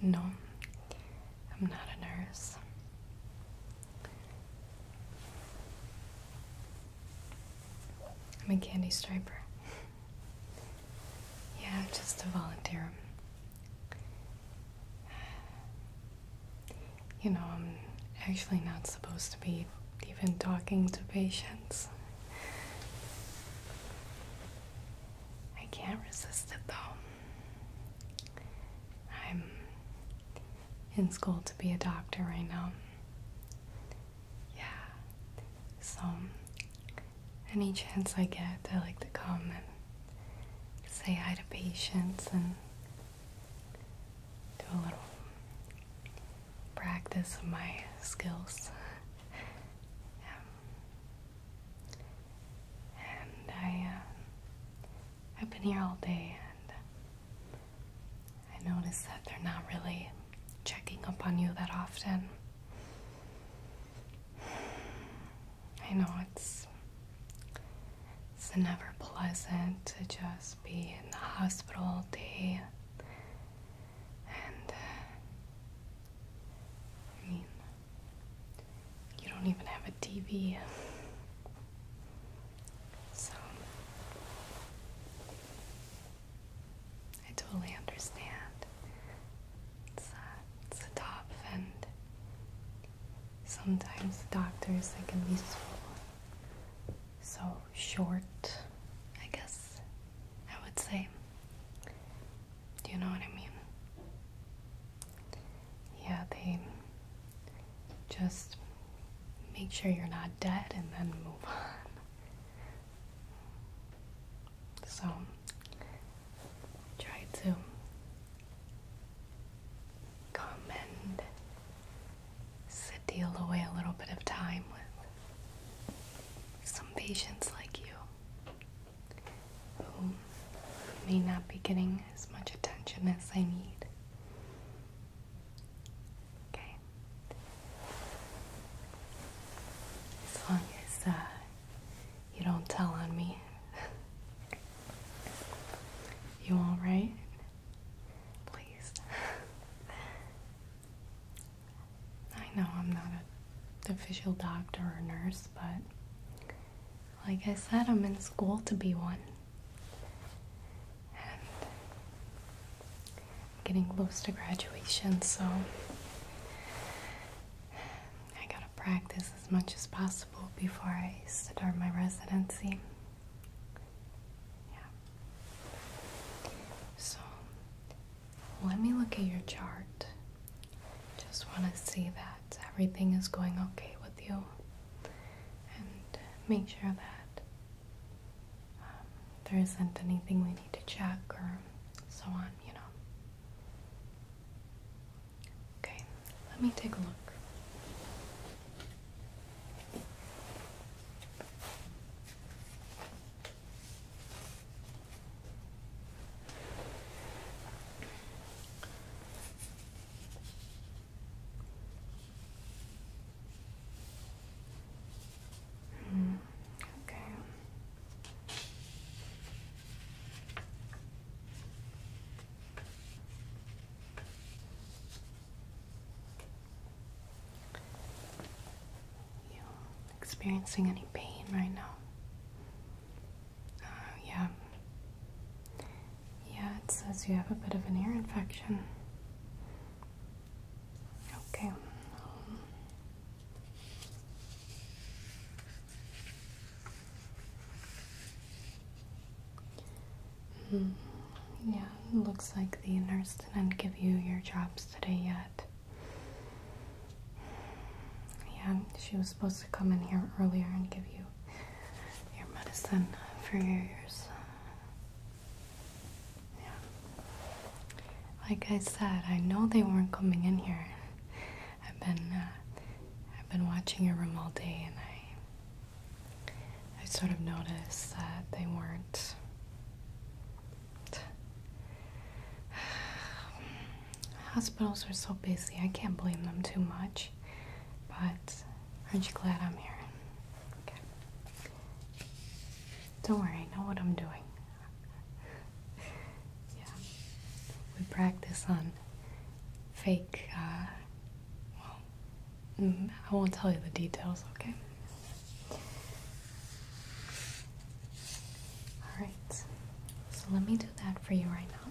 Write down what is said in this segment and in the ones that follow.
No, I'm not a nurse. I'm a candy striper. yeah, just a volunteer. You know, I'm actually not supposed to be even talking to patients. I can't resist it though. I'm in school to be a doctor right now. Yeah. So, any chance I get, I like to come and say hi to patients and do a little practice of my skills. And I, uh, I've been here all day and I notice that they're not really checking up on you that often. I know it's it's never pleasant to just be in the hospital all day and uh, I mean you don't even have a TV. So I totally understand. It's, uh, it's a top, and sometimes doctors they can be so short. I guess I would say. Do you know what I mean? yeah, they just make sure you're not dead and then move on. So try to come and steal away a little bit of time with some patients like you who may not be getting as much attention as I need. Okay. As long as uh, you don't tell on me. you all right? Please. I know I'm not an official doctor or nurse, but like I said, I'm in school to be one. And getting close to graduation, so I gotta practice as much as possible before I start my residency. Yeah. So let me look at your chart. Just want to see that everything is going okay with you and make sure that um, there isn't anything we need to check or so on, you know. Okay, let me take a look okay. You experiencing any pain right now? Uh, yeah, yeah, it says you have a bit of an ear infection. Okay. Um, yeah, looks like the nurse didn't give you your drops today yet. Yeah, she was supposed to come in here earlier and give you your medicine for your ears. Yeah. Like I said, I know they weren't coming in here. I've been I've been watching your room all day, and I I sort of noticed that they weren't. Hospitals are so busy. I can't blame them too much. But aren't you glad I'm here? Okay. Don't worry, know what I'm doing. yeah. We practice on fake, uh, well, mm, I won't tell you the details, okay? Alright, so let me do that for you right now.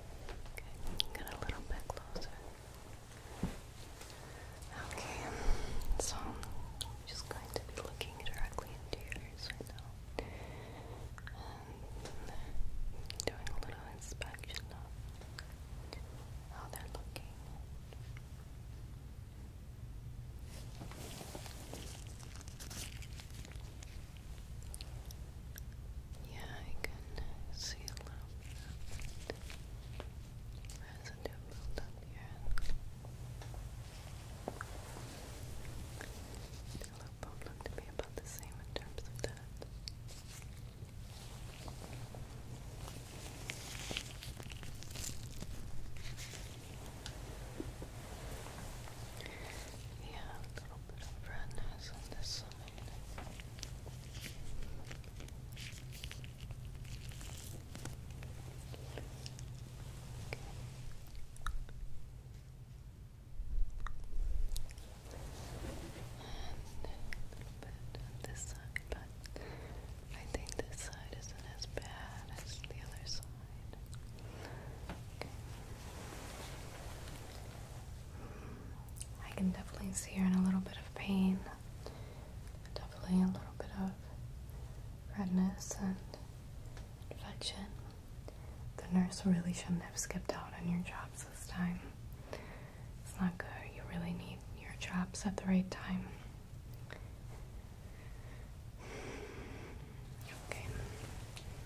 Okay, get a little bit closer. Okay, so I'm just going to be looking directly into your right now. And doing a little inspection of how they're looking. Yeah, I can see a little residue build here. The other problem to be about the same in terms of that. Yeah, a little bit of redness on this bit on this side, but I think this side isn't as bad as the other side. I can definitely see her in a little bit of pain, definitely a little bit of redness and infection. The nurse really shouldn't have skipped out on your jobs this time. It's not good. You really need your jobs at the right time. Okay,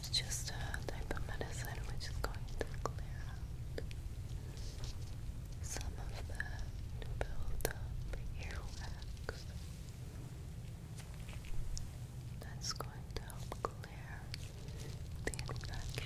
It's just a type of medicine which is going to clear out some of the build up earwax. That's going to help clear the infection.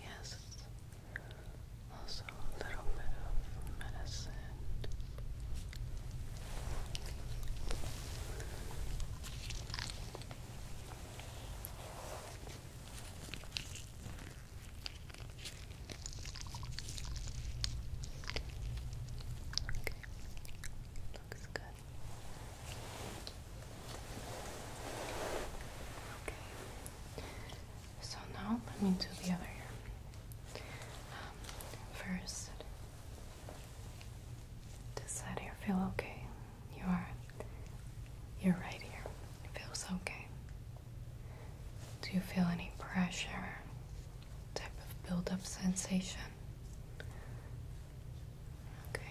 Yes, also a little bit of medicine. Okay. Looks good. Okay. So now let me do the other ear. Um, first, does that ear feel okay? You are. You're right here. It feels okay. Do you feel any pressure? Type of build-up sensation? Okay.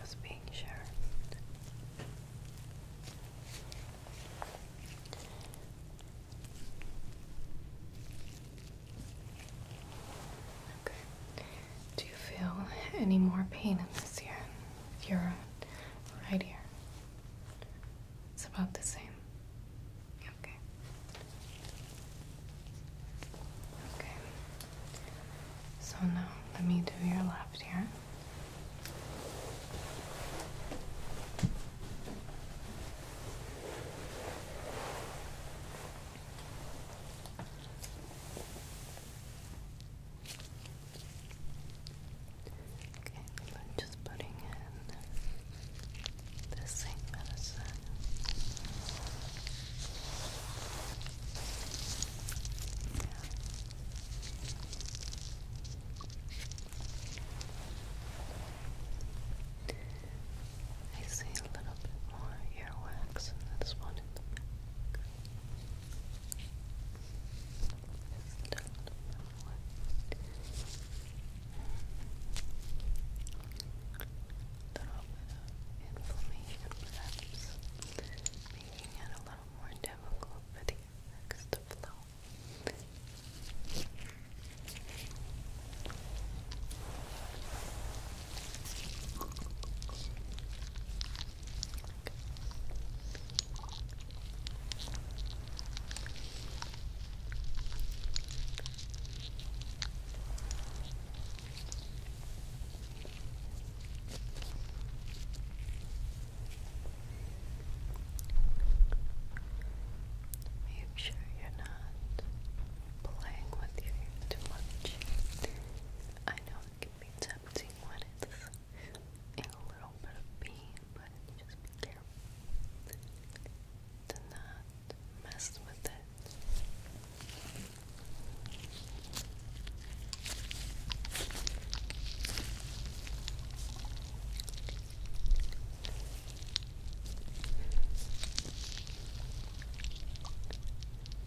Just being sure. Do you feel any more pain in this ear? You're right here. It's about the same. Okay. Okay. So now let me do your left ear. Okay, I'm just putting in the same medicine. I see a little bit more earwax in this one down in a little bit inflammation perhaps, making it a little more difficult for the effects to flow. Make sure you're not playing with you too much. I know it can be tempting when it's in a little bit of pain, but just be careful to not mess with it. Okay.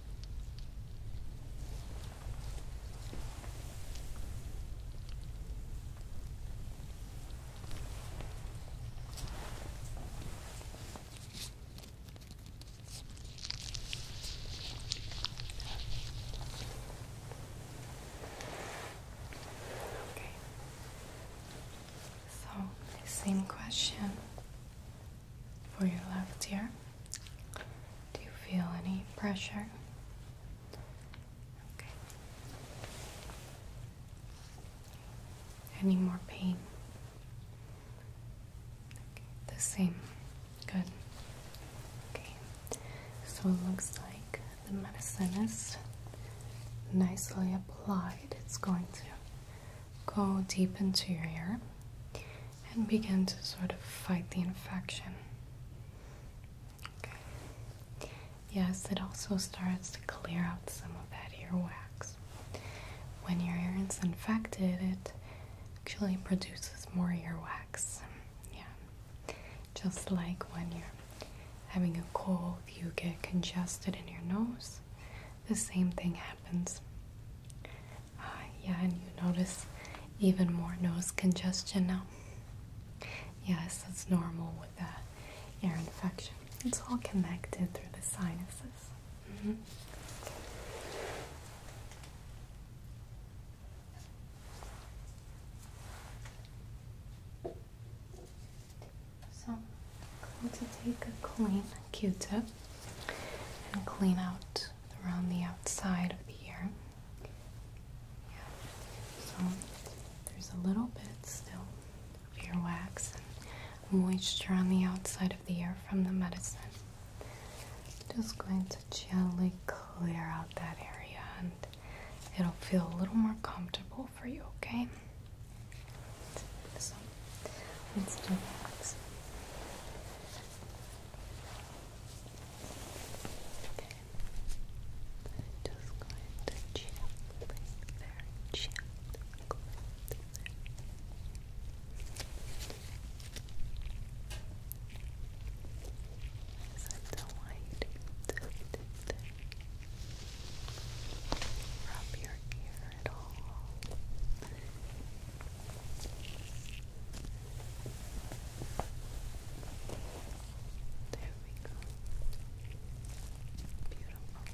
So, same question for your left ear. Do you feel any pressure? Okay. Any more pain? Okay, the same. Good. Okay. So it looks like the medicine is nicely applied. It's going to go deep into your ear and begin to sort of fight the infection. Okay. Yes, it also starts to clear out some of that earwax. When your ear is infected, it actually produces more earwax. Yeah. Just like when you're having a cold, you get congested in your nose the same thing happens. Ah, yeah, and you notice even more nose congestion now. Yes, it's normal with the ear infection. It's all connected through the sinuses. Mm-hmm. So going to take a clean Q-tip and clean out around the outside of the ear. Yeah. So there's a little bit still of your wax and moisture on the outside of the ear from the medicine. Just going to gently clear out that area and it'll feel a little more comfortable for you, okay? Let's do that. Okay. I'm just chill right Chill. Yes, I don't want you to do your ear at all. There we go. Beautiful. Okay.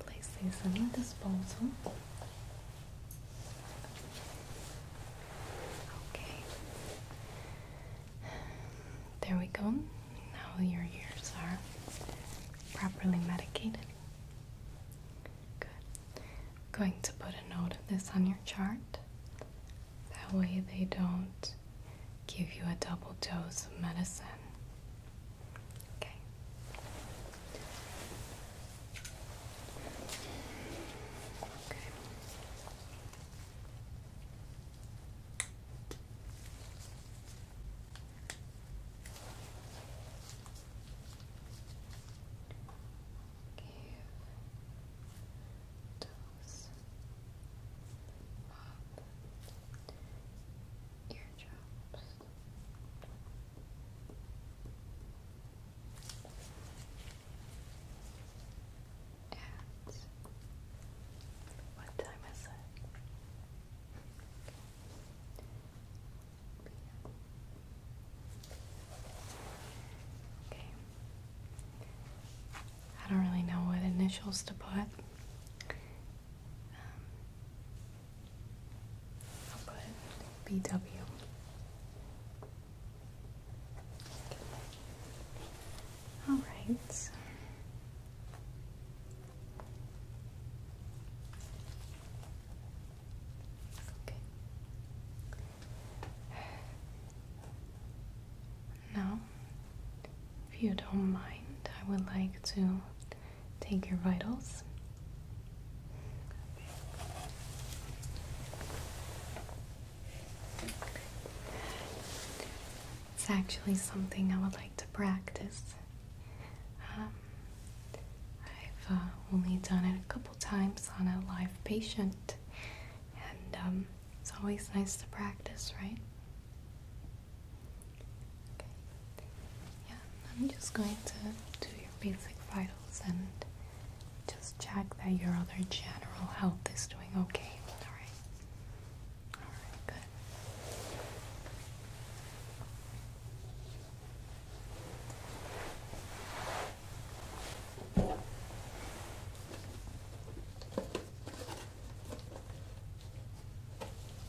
Place these on the disposal. Okay. There we go. Now your ears are properly medicated. Good. going to put a note of this on your chart. That way they don't give you a double dose of medicine. Okay. Okay. Give those up teardrops. what time is it? Okay. I don't really know what initials to put. Um, put BW. All right. Now, if you don't mind, I would like to take your vitals. It's actually something I would like to practice. Um, I've uh, only done it a couple times on a live patient, and um, it's always nice to practice, right? Yeah, I'm just going to do your basic vitals and just check that your other general health is doing okay. All right. All right, good.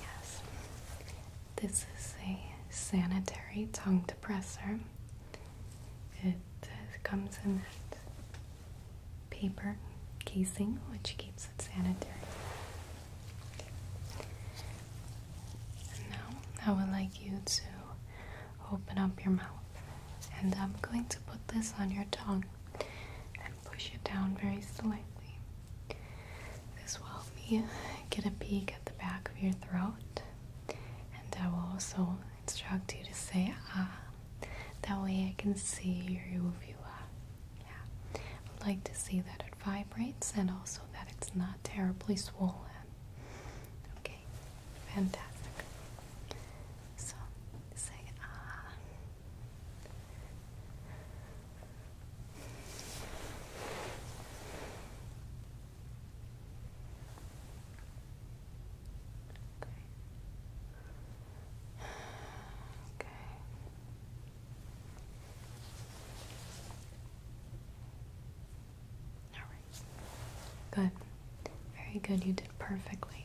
Yes, this is a sanitary tongue depressor. It uh, comes in that paper casing which keeps it sanitary. And now I would like you to open up your mouth and I'm going to put this on your tongue and push it down very slightly. This will help me get a peek at the back of your throat, and I will also instruct you to say ah. That way I can see your uvula. Yeah, I'd like to see that it vibrates and also that it's not terribly swollen. Okay, fantastic. So say ah. Okay. Okay. All right. Good. Very good, you did perfectly.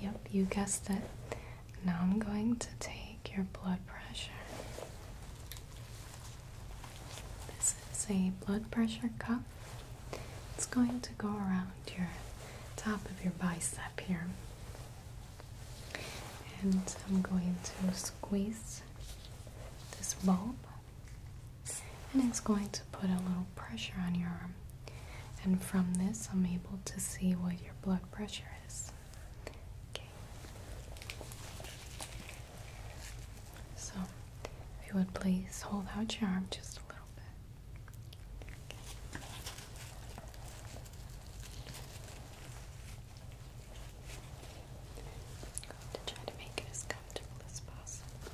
Yep, you guessed it. Now I'm going to take your blood pressure. This is a blood pressure cuff. It's going to go around your top of your bicep here. And I'm going to squeeze this bulb and it's going to put a little pressure on your arm. And from this, I'm able to see what your blood pressure is. Okay. So, if you would please hold out your arm just a little bit i try to make it as comfortable as possible.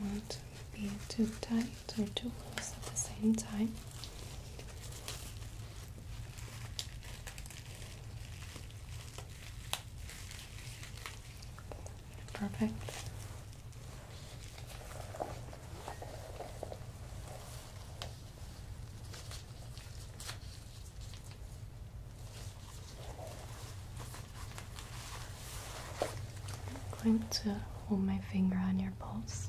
Don't want to be too tight or too loose at the same time. Perfect. I'm going to hold my finger on your pulse.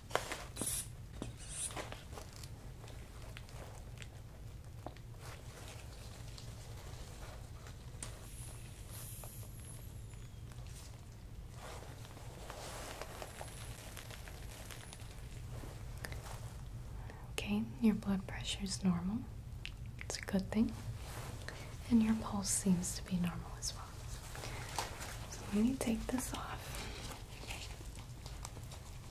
Okay, your blood pressure is normal. It's a good thing. And your pulse seems to be normal as well. So let me take this off.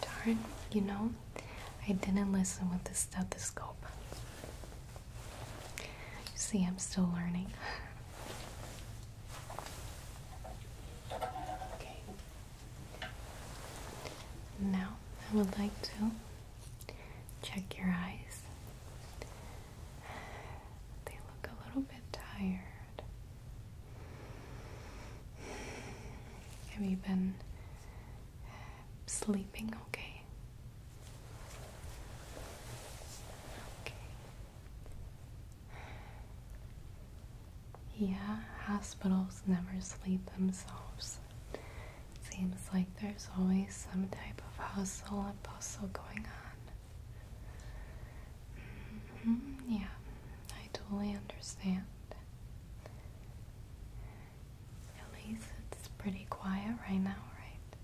Darn, you know, I didn't listen with the stethoscope. see, I'm still learning. Okay. Now, I would like to Check your eyes. They look a little bit tired. Have you been sleeping okay? Okay. Yeah, hospitals never sleep themselves. Seems like there's always some type of hustle and bustle going on. Mm-hmm, yeah, I totally understand. At least it's pretty quiet right now, right?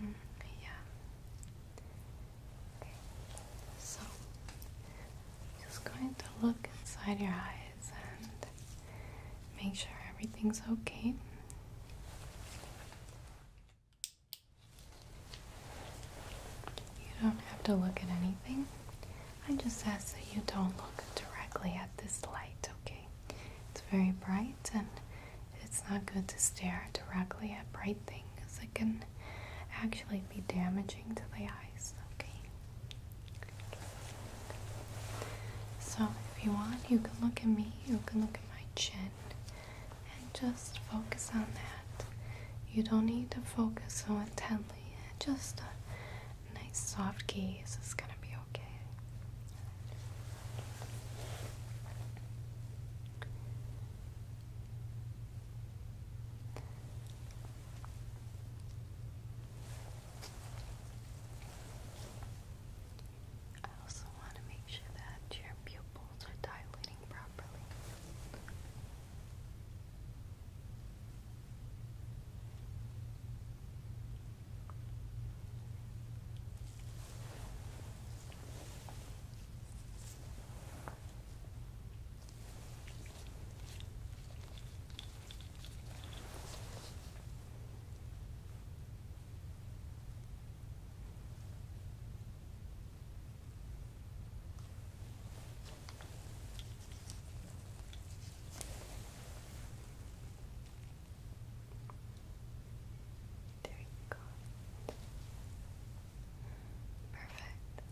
Mm-hmm, yeah. So, I'm just going to look inside your eyes and make sure everything's okay. You don't have to look at anything. I just ask that you don't look directly at this light, okay? It's very bright and it's not good to stare directly at bright things. It can actually be damaging to the eyes, okay? So, if you want, you can look at me, you can look at my chin, and just focus on that. You don't need to focus so intently, just a nice soft gaze is going to be okay. I also want to make sure that your pupils are dilating properly. There you go. Perfect.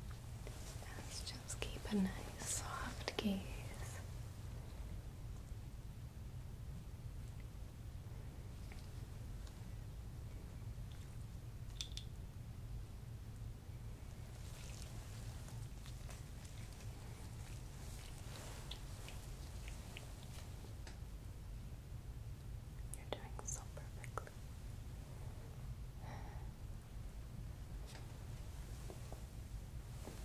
let's just keep a nice soft gaze. You're doing so perfectly.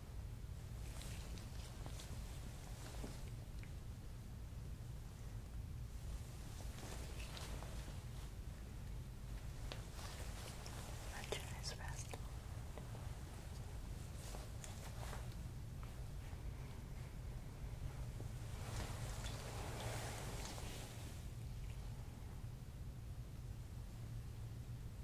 Much nice rest. Good.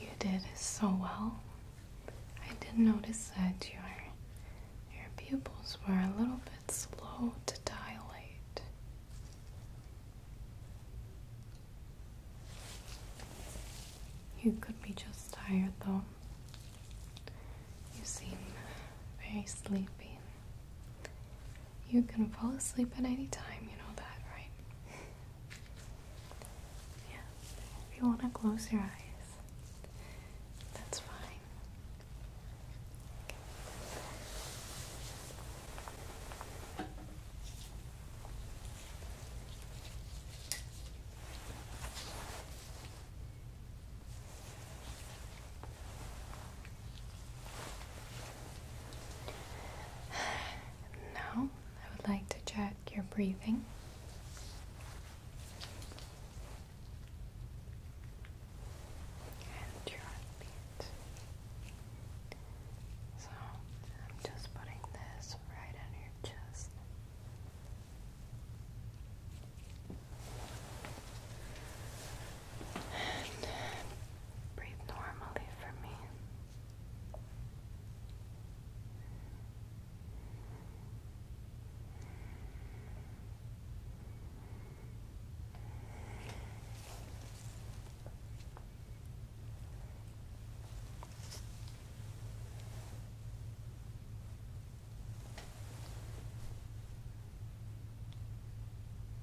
You did so well. I did notice that your your pupils were a little bit slow to dilate. You could be just tired though. You seem very sleepy. You can fall asleep at any time, you know that, right? Yeah, if you want to close your eyes, that's fine. Now, I would like to check your breathing. And your heartbeat. So I'm just putting this right on your chest. And breathe normally for me.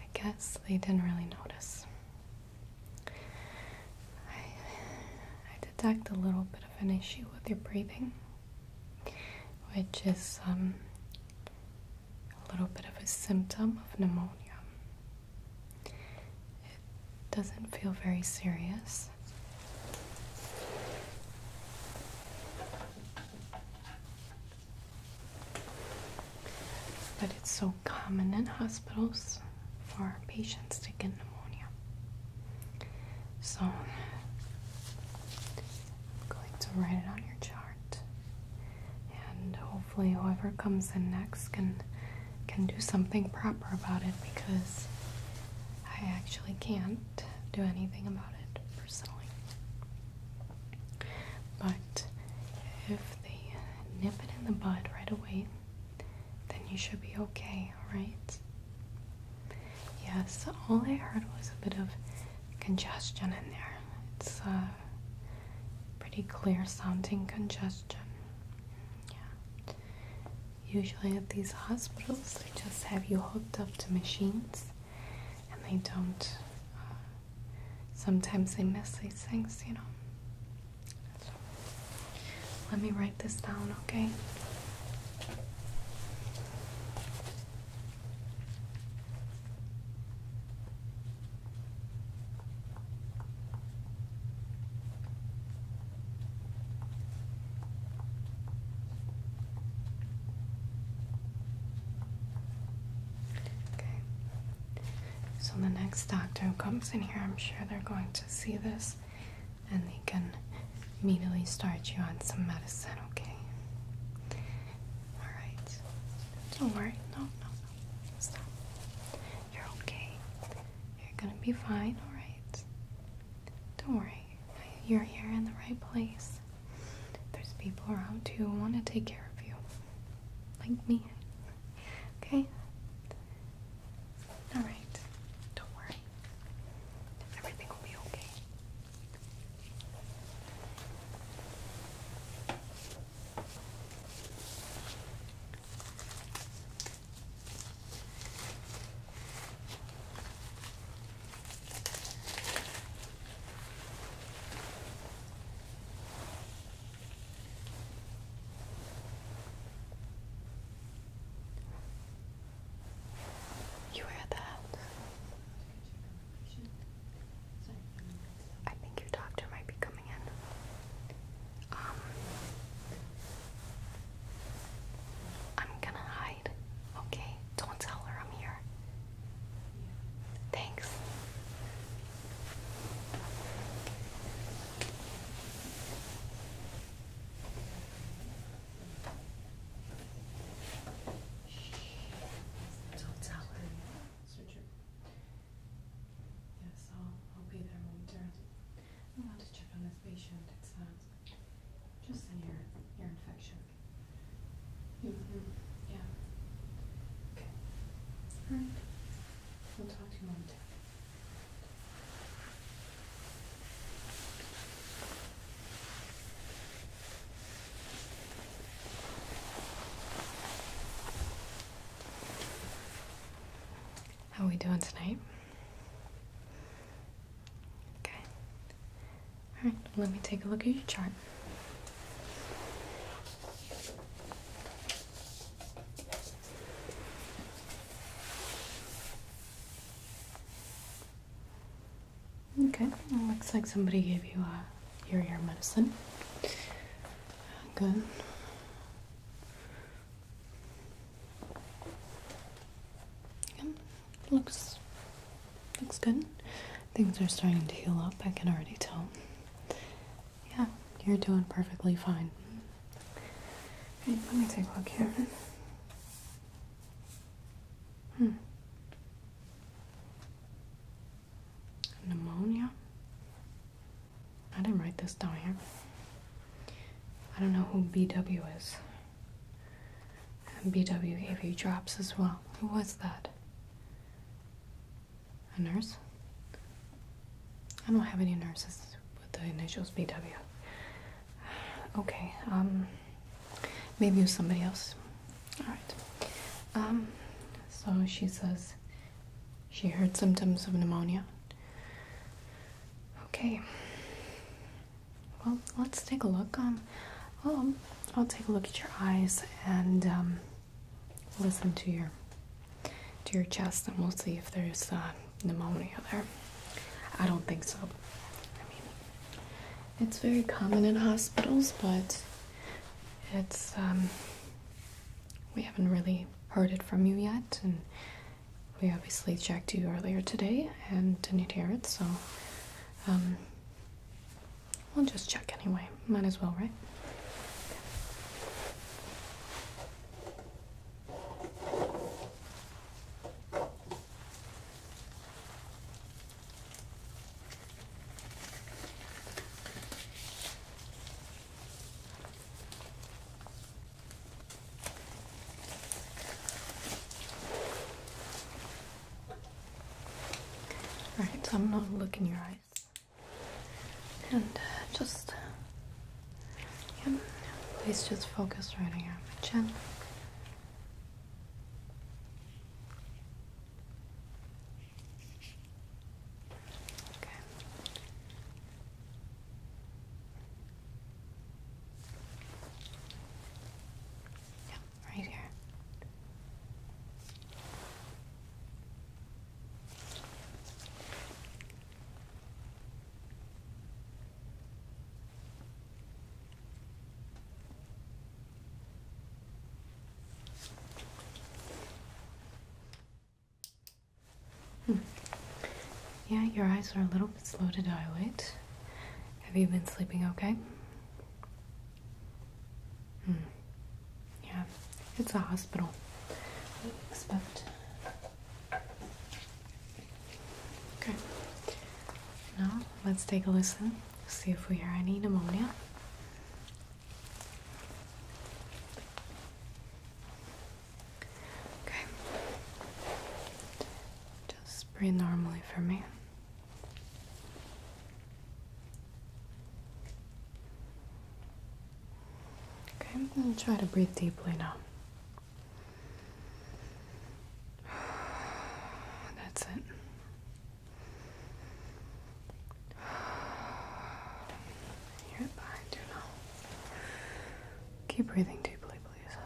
I guess they didn't really notice. I, I detect a little bit of an issue with your breathing, which is um, a little bit of a symptom of pneumonia. It doesn't feel very serious. But it's so common in hospitals for patients to get pneumonia. So I'm going to write it on your chart. And hopefully whoever comes in next can can do something proper about it because I actually can do anything about it personally. But if they nip it in the bud right away, then you should be okay, alright? Yes, all I heard was a bit of congestion in there. It's a uh, pretty clear sounding congestion. Usually at these hospitals, they just have you hooked up to machines and they don't. Uh, sometimes they miss these things, you know. let me write this down, okay? Okay. So the next doctor who comes in here, I'm sure they're going to see this and they can immediately start you on some medicine, okay? Alright. Don't worry. No, no, no. You're okay. You're gonna be fine, alright? Don't worry you're here in the right place. There's people around who want to take care of you, like me. Okay? Alright, don't worry. Everything will be okay. You heard that? I think your doctor might be coming in. Um, I'm gonna hide, okay? Don't tell her I'm here. Thanks. Don't tell her. Surgery. Yes, I'll, I'll be there when we turn. I to check on this patient. It's uh, just an ear, ear infection. Mm -hmm. Yeah. Okay. All right. We'll talk to you later. How are we doing tonight? Okay. All right, let me take a look at your chart. Okay, looks like somebody gave you a uh, your ear medicine. Good looks looks good. Things are starting to heal up. I can already tell. Yeah, you're doing perfectly fine. let me take a look here. Hmm. Pneumonia. I didn't write this down here. I don't know who BW is. And BW gave you drops as well. Who was that? A nurse? I don't have any nurses with the initials BW. Okay, um, maybe it was somebody else. Alright. Um, so she says she heard symptoms of pneumonia. Okay. Well, let's take a look. Um, well, I'll take a look at your eyes and um, listen to your to your chest, and we'll see if there's uh, pneumonia there. I don't think so. I mean, it's very common in hospitals, but it's um, we haven't really heard it from you yet, and we obviously checked you earlier today and didn't hear it, so um, We'll just check anyway. Might as well, right? Alright, so I'm not in your eyes. And uh, just, yeah, please just focus right here on my chin. Okay. Yeah, right here. Hmm. Yeah, your eyes are a little bit slow to dilate. Have you been sleeping okay? Hmm. Yeah, it's a hospital. expect. Okay. Now let's take a listen. See if we hear any pneumonia. Okay. Just breathe normally for me. Okay, I'm going to try to breathe deeply now. That's it. You're behind now. Keep breathing deeply, please.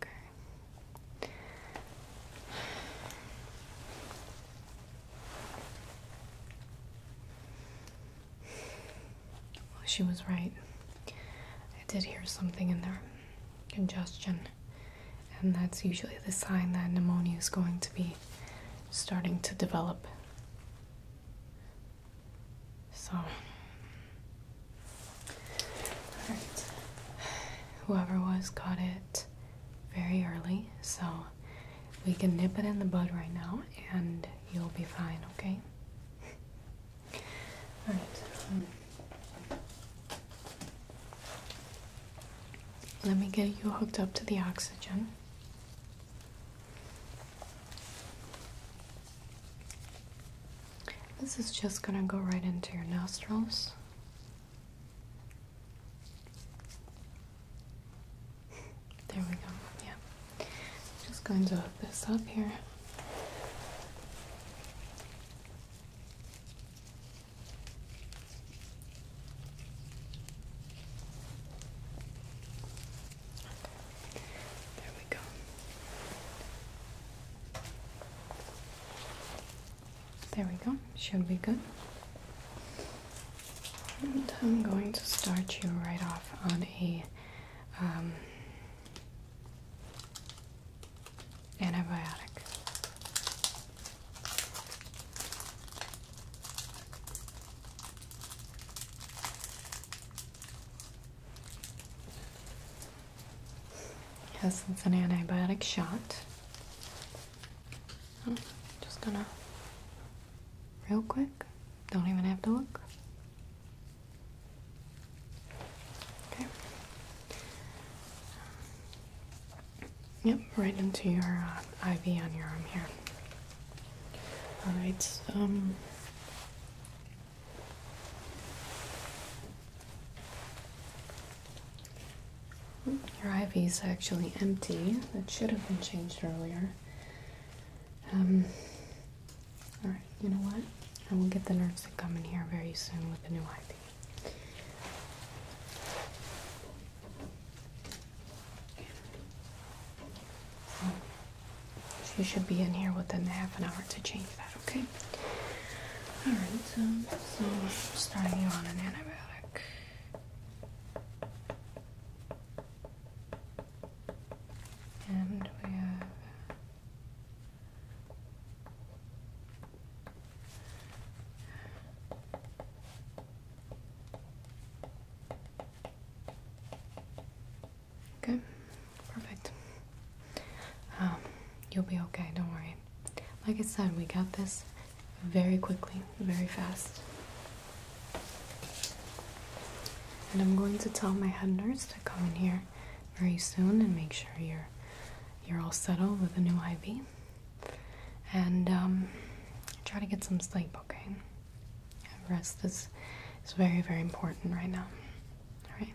Okay. Well, she was right. I did hear something in there. Congestion and that's usually the sign that pneumonia is going to be starting to develop. So, whoever was got it very early, so we can nip it in the bud right now and you'll be fine, okay? Alright. Um, let me get you hooked up to the oxygen. This is just going to go right into your nostrils. There we go. Yeah. Just going to hook this up here. There we go. There we go. Should be good. And I'm going to start you right off on a um, antibiotic. Yes, it's an antibiotic shot. Oh, just gonna, real quick, don't even have to look. Okay. Yep, right into your uh, IV on your arm here. All right. Um, your IV is actually empty. That should have been changed earlier. Um, all right. You know what? I will get the nurse to come in here very soon with a new IV. She should be in here within half an hour to change that, okay? Alright, so, starting you on an antibiotic. And we have Okay, perfect. Um, you'll be okay, don't worry. Like I said, we got this very quickly, very fast. And I'm going to tell my head nurse to come in here very soon and make sure you're you're all settled with a new IV and um, try to get some sleep, okay? rest is, is very, very important right now. All right?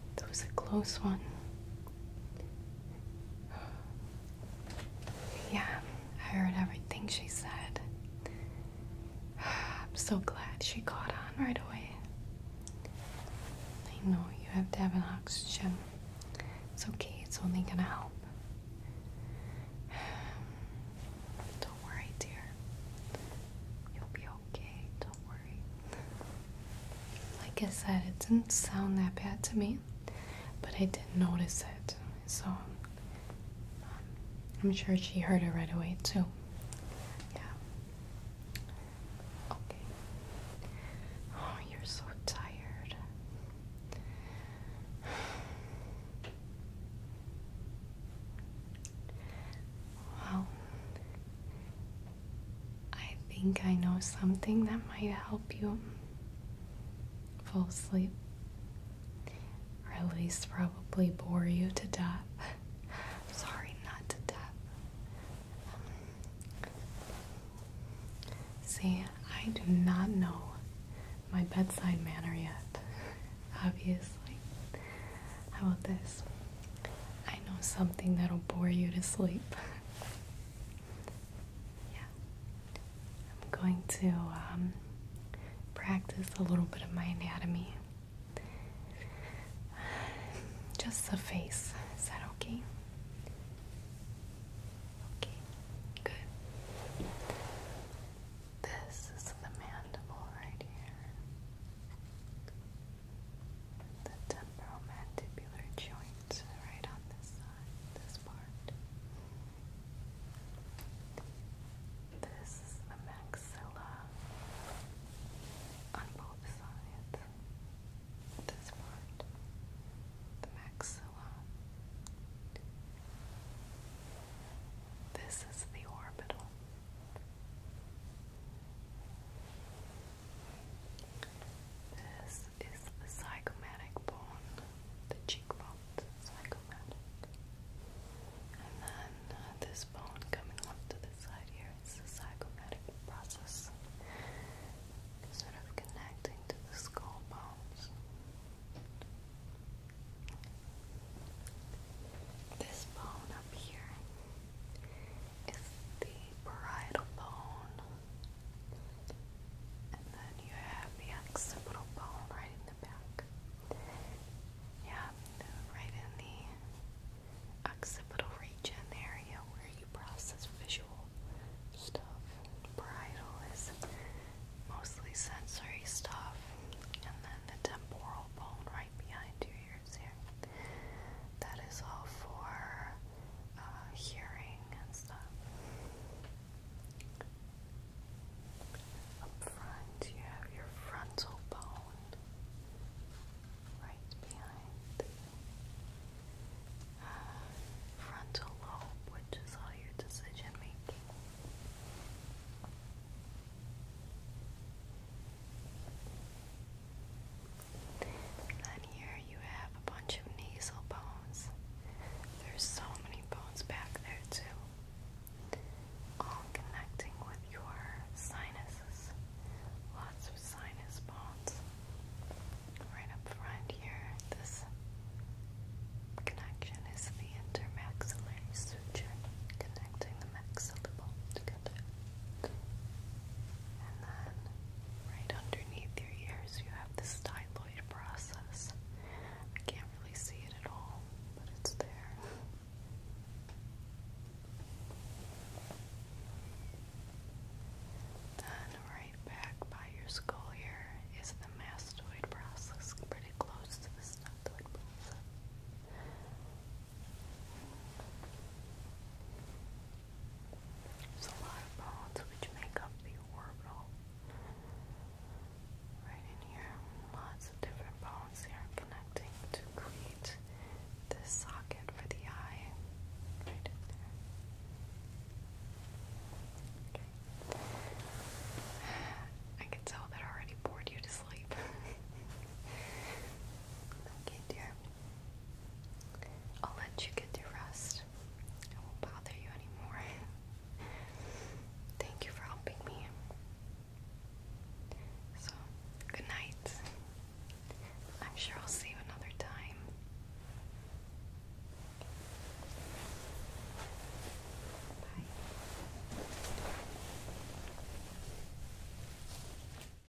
That was a close one. Yeah, I heard everything she said. I'm so glad she caught on right away. I know you have to have an oxygen. It's okay, it's only gonna help. Don't worry, dear. You'll be okay, don't worry. Like I said, it didn't sound that bad to me, but I did notice it. So um, I'm sure she heard it right away, too. Yeah. Okay. Oh, you're so tired. Well, I think I know something that might help you fall asleep, or at least probably bore you to death. Sorry, not to death. Um, see, I do not know my bedside manner yet, obviously. How about this? I know something that'll bore you to sleep. yeah. I'm going to um, practice a little bit of my anatomy. Just the face. Is that okay? Okay, good. This is the mandible right here the temporal mandibular joint right on this side, this part. This is the maxilla on both sides. This part, the maxilla. This is the orbital. This is the zygomatic bone, the cheekbone, zygomatic. And then uh, this bone coming up to the side here is the zygomatic process, sort of connecting to the skull bones. This bone up here is the parietal bone, and then you have the occipital bone right in the back. Yeah, right in the occipital region, area where you process visual stuff. Parietal is mostly sensory stuff, and then the temporal bone right behind you ears That is all for uh, hearing and stuff. Up front, you have your frontal bone right behind uh, frontal lobe, which is all your decision making then here you have a bunch of nasal bones. There's so many bones back there too. All connecting with your sinuses. Lots of sinus bones. Right up front here, this connection is the intermaxillary suture connecting the maxilla bone together. And then right underneath your ears you have this styloid process. I can't really see it at all, but it's there. Then right back by your skull here is the mastoid process, pretty close to the styloid process. There's a lot of bones which make up the orbital. Right in here, lots of different bones here connecting to create this socket for the eye. Right there. I can tell that I already bored you to sleep. okay, dear. I'll let you get your rest. I won't bother you anymore. Thank you for helping me. So, good night. I'm sure I'll see you another time. Bye.